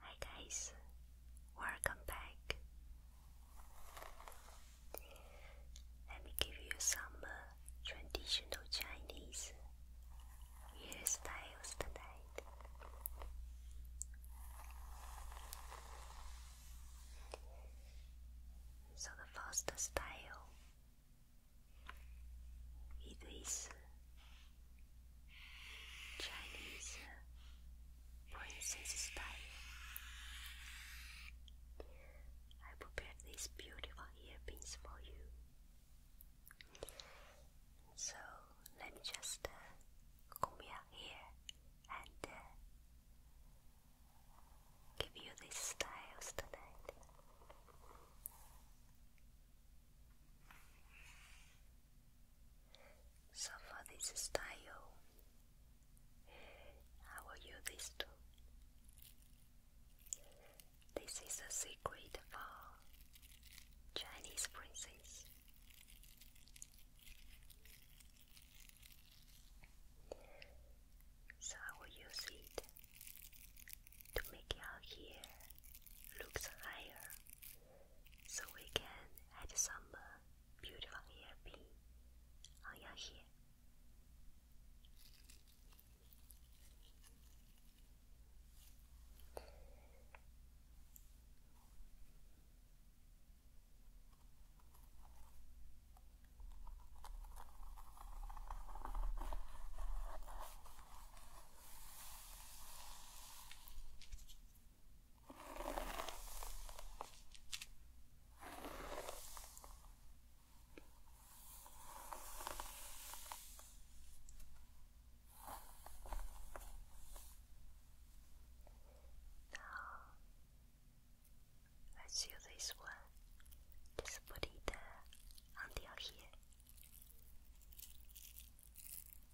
Hi guys, welcome back. Let me give you some uh, traditional Chinese hairstyles tonight. So the first style it is Chinese princess style. I prepared these beautiful earpins for you. So let me just uh, comb and uh, give you these styles tonight. So for this style, I will use this too. This is a secret for Chinese princess. So I will use it to make your hair looks higher so we can add some uh, beautiful hairpin on your hair. Now, let's this one. Just put until uh, here.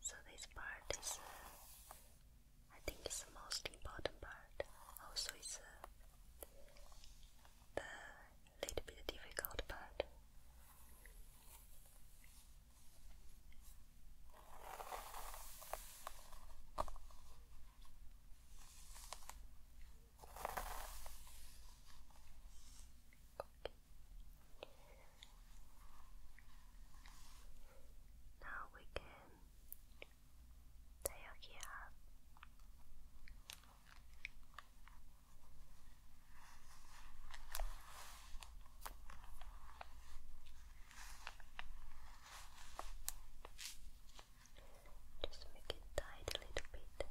So this part is, uh, I think, is the most important part. Also, it's uh, the little bit difficult part. Now we can take it up. Just make it tight a little bit.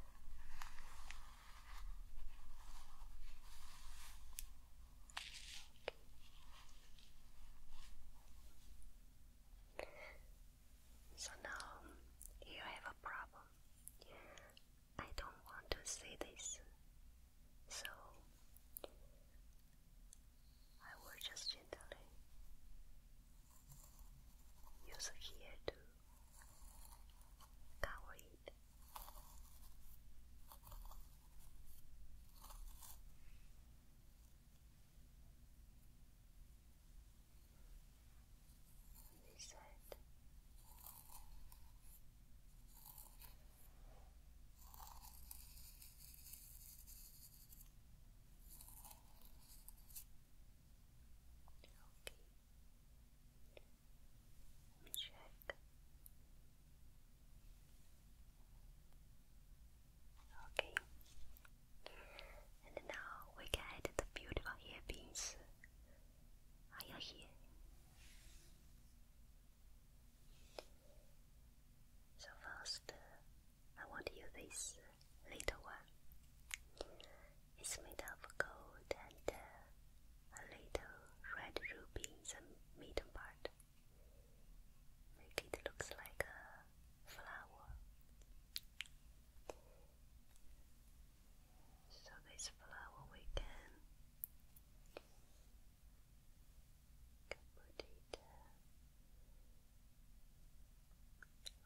So now you have a problem. I don't want to say this, so I will just gently use here to cover it. This side. Okay. check. Okay. And now we can the beautiful hair Are you here? So first, uh, I want to this uh, little one. It's made of gold and uh, a little red ruby in the middle part. Make it looks like a flower. So this flower we can, put it uh,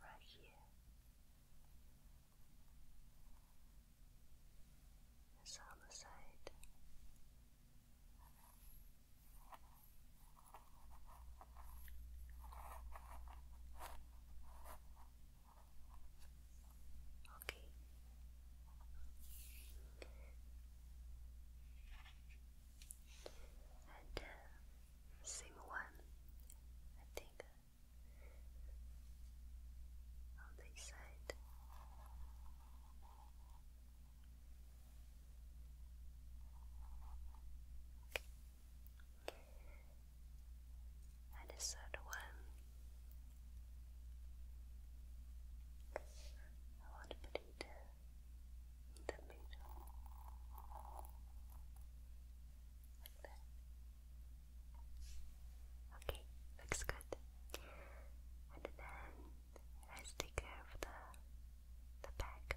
right here. It's on the side. Okay. And uh, same one, I think, on this side. And the third one, I want to put it the middle, like that. Okay, looks good. And then let take care of the the back.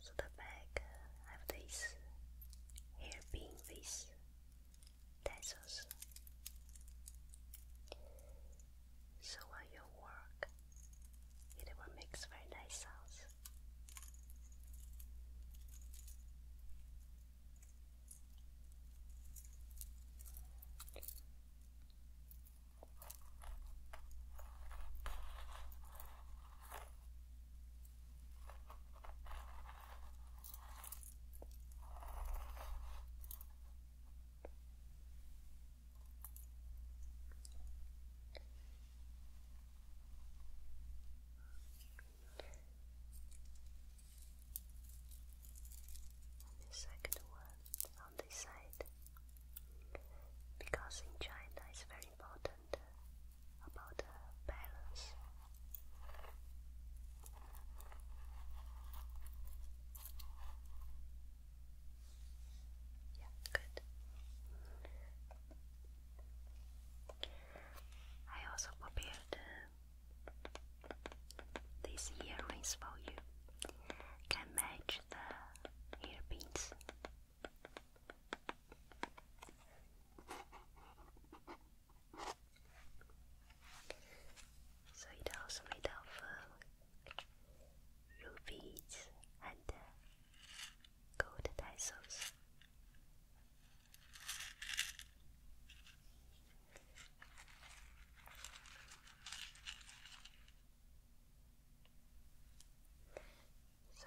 So the back uh, have this hairpin with tassels. So while you work, it will make very nice sounds the second one on this side, because in China it's very important about the balance. Yeah, good. I also prepared uh, these earrings for you. Can match the hair pins 所以岛是美岛风、rubies and uh, gold tassels. So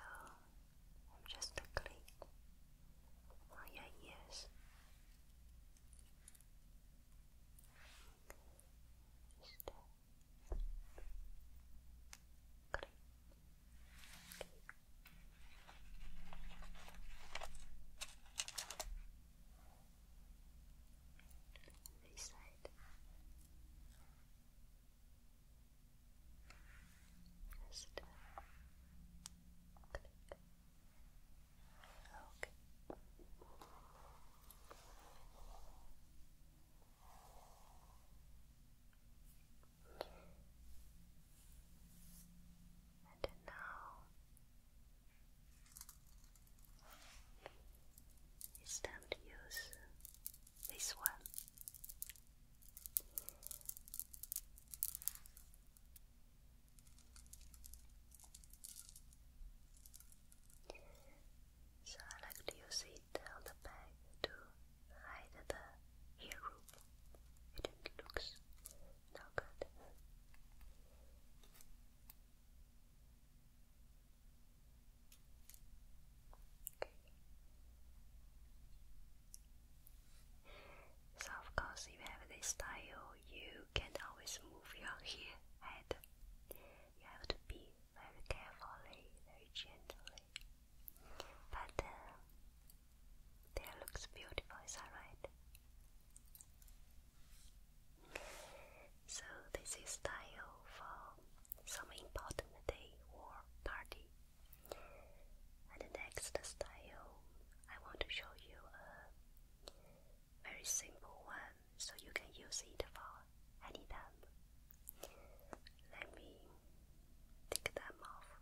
I'm just a click oh, on your ears. Just click. This side. Just uh, click. And now it's time use this one. So I like to use it on the back to hide the hair root. It looks not good. Okay. So of course if you have this style you can always move your hair head. You have to be very carefully, very gently. But uh, there looks beautiful, is that right? So this is style for some important day or party. And next style, I want to show you a very simple one so you can use it for any time. Let me take them off.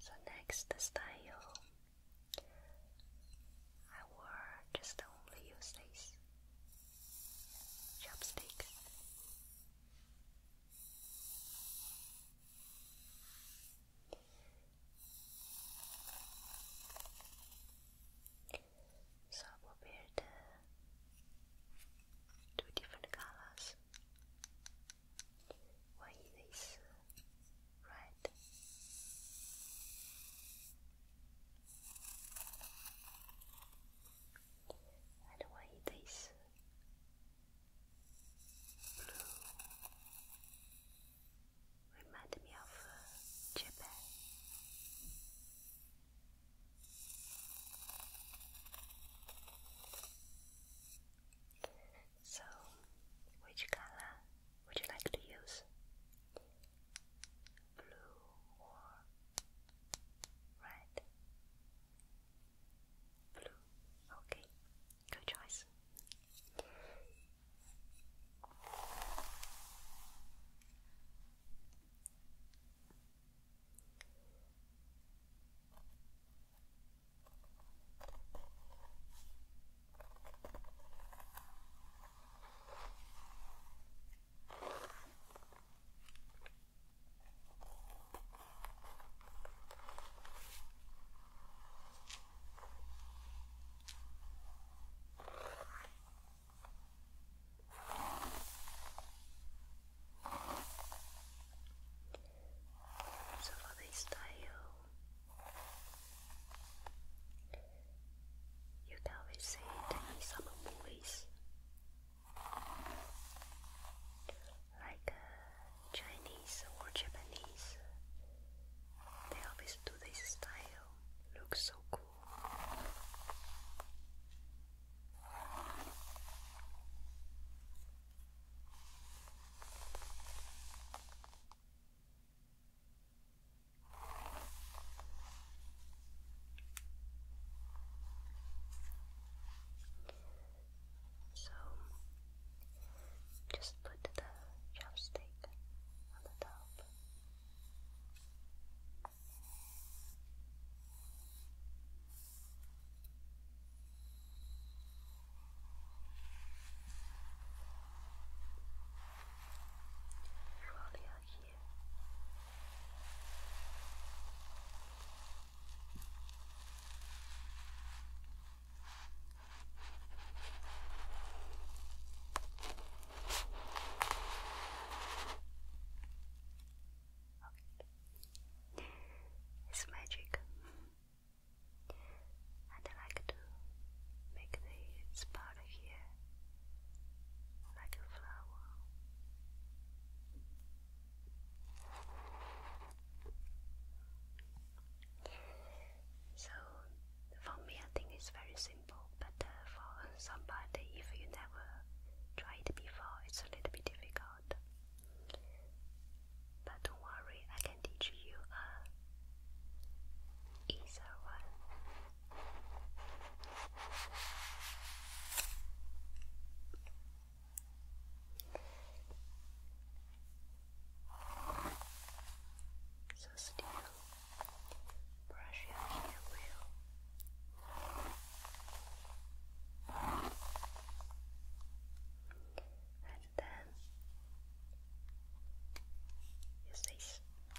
So next style I will just only use these chopsticks. So I prepared two different colors. One is this right. And when it is blue, remind me of uh, Japan. So, which color would you like to use? blue or red? Blue. Okay, good choice. So for You'd always see it in some movies, like uh, Chinese or Japanese. They always do this style. Looks so cool. So just put the chopstick on the top. Surely I hear. It's magic and I like to make this part here like a flower. So for me, I think it's very simple, but uh, for somebody, if you never tried it before, it's a little bit difficult. But don't worry, I can teach you a uh, easier one. So still brush your hair well. And then use this.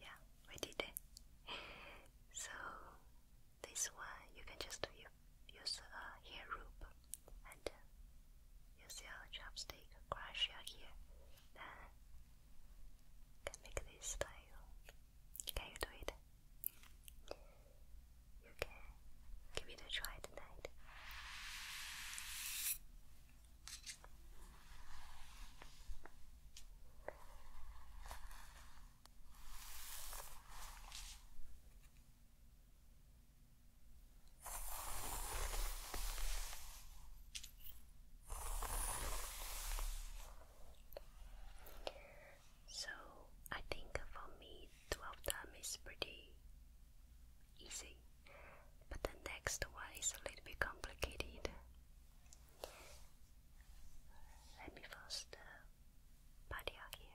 Yeah, we did it. So this one you can just use a uh, hair rope and uh, use your chopstick, crush your hair, then can make this style. Can you do it? You can give it a try tonight. So I think for me 12 time is pretty easy, but the next one is a little bit complicated. Let me first the uh, body out here.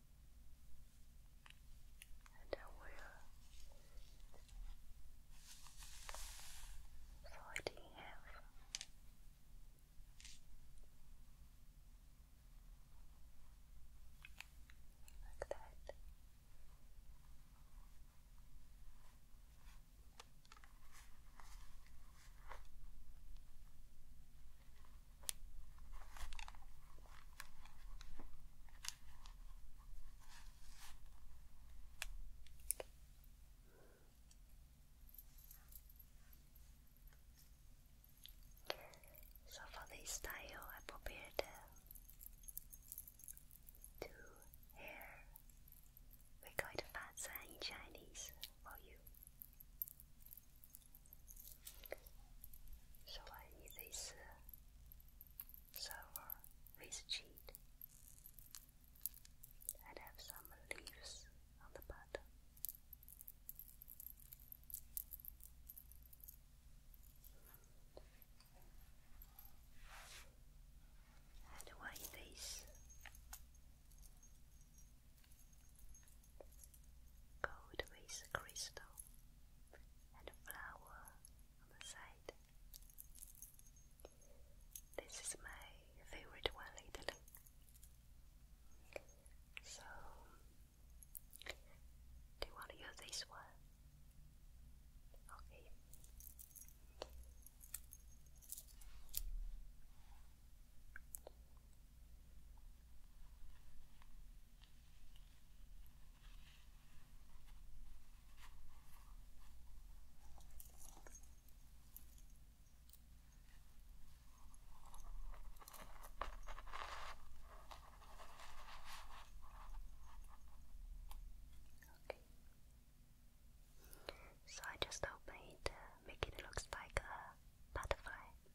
and I will fold it half. Like that. So for this style, I prepared two hair. We call it 发簪 in Chinese for you. So I eat this uh, with cheese and have some leaves on the bottom. And why this? gold with crystal and flower on the side. This is my favorite one lately. So, do you want to use this one? Okay. Okay. So I just open it, uh, it looks like a butterfly.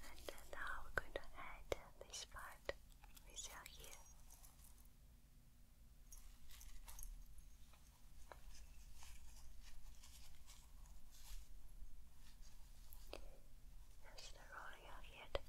And uh, now we're going to add this part with your hair. As they're rolling out together.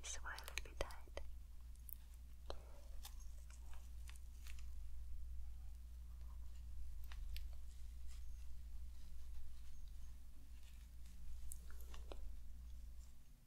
This wire will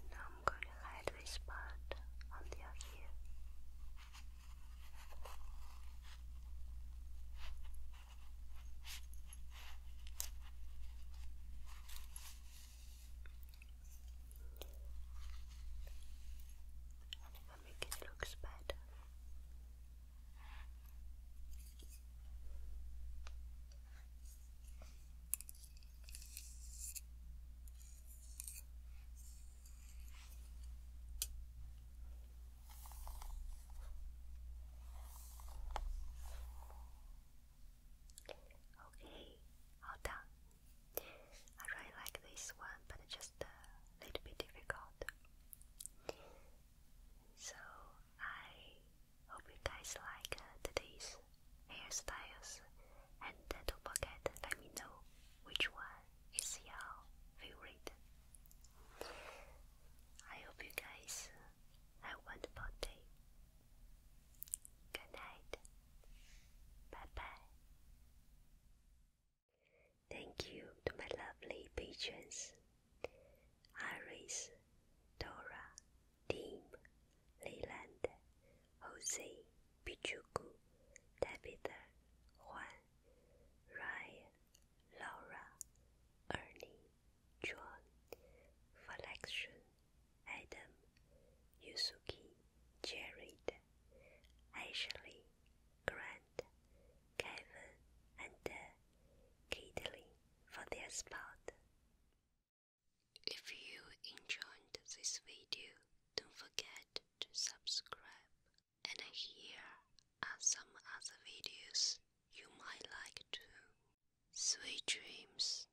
And now I'm going to hide this part on the other ear. And if I make it looks better. Okay, all done. I really like this one, but just a little bit difficult. So I hope you guys like uh, today's hairstyles, and don't forget let me know which one is your favorite. I hope you guys have a wonderful day. Good night. Bye bye. Thank you to my lovely patrons Iris, Dora, Tim, Leland, Jose, Pichuku, Tabitha, Juan, Ryan, Laura, Ernie, John, for Adam, Yusuke, Jared, Ashley, Grant, Kevin, and uh, Caitlin for their support. If you enjoyed this video, don't forget to subscribe. And here are some other videos you might like too. Sweet dreams.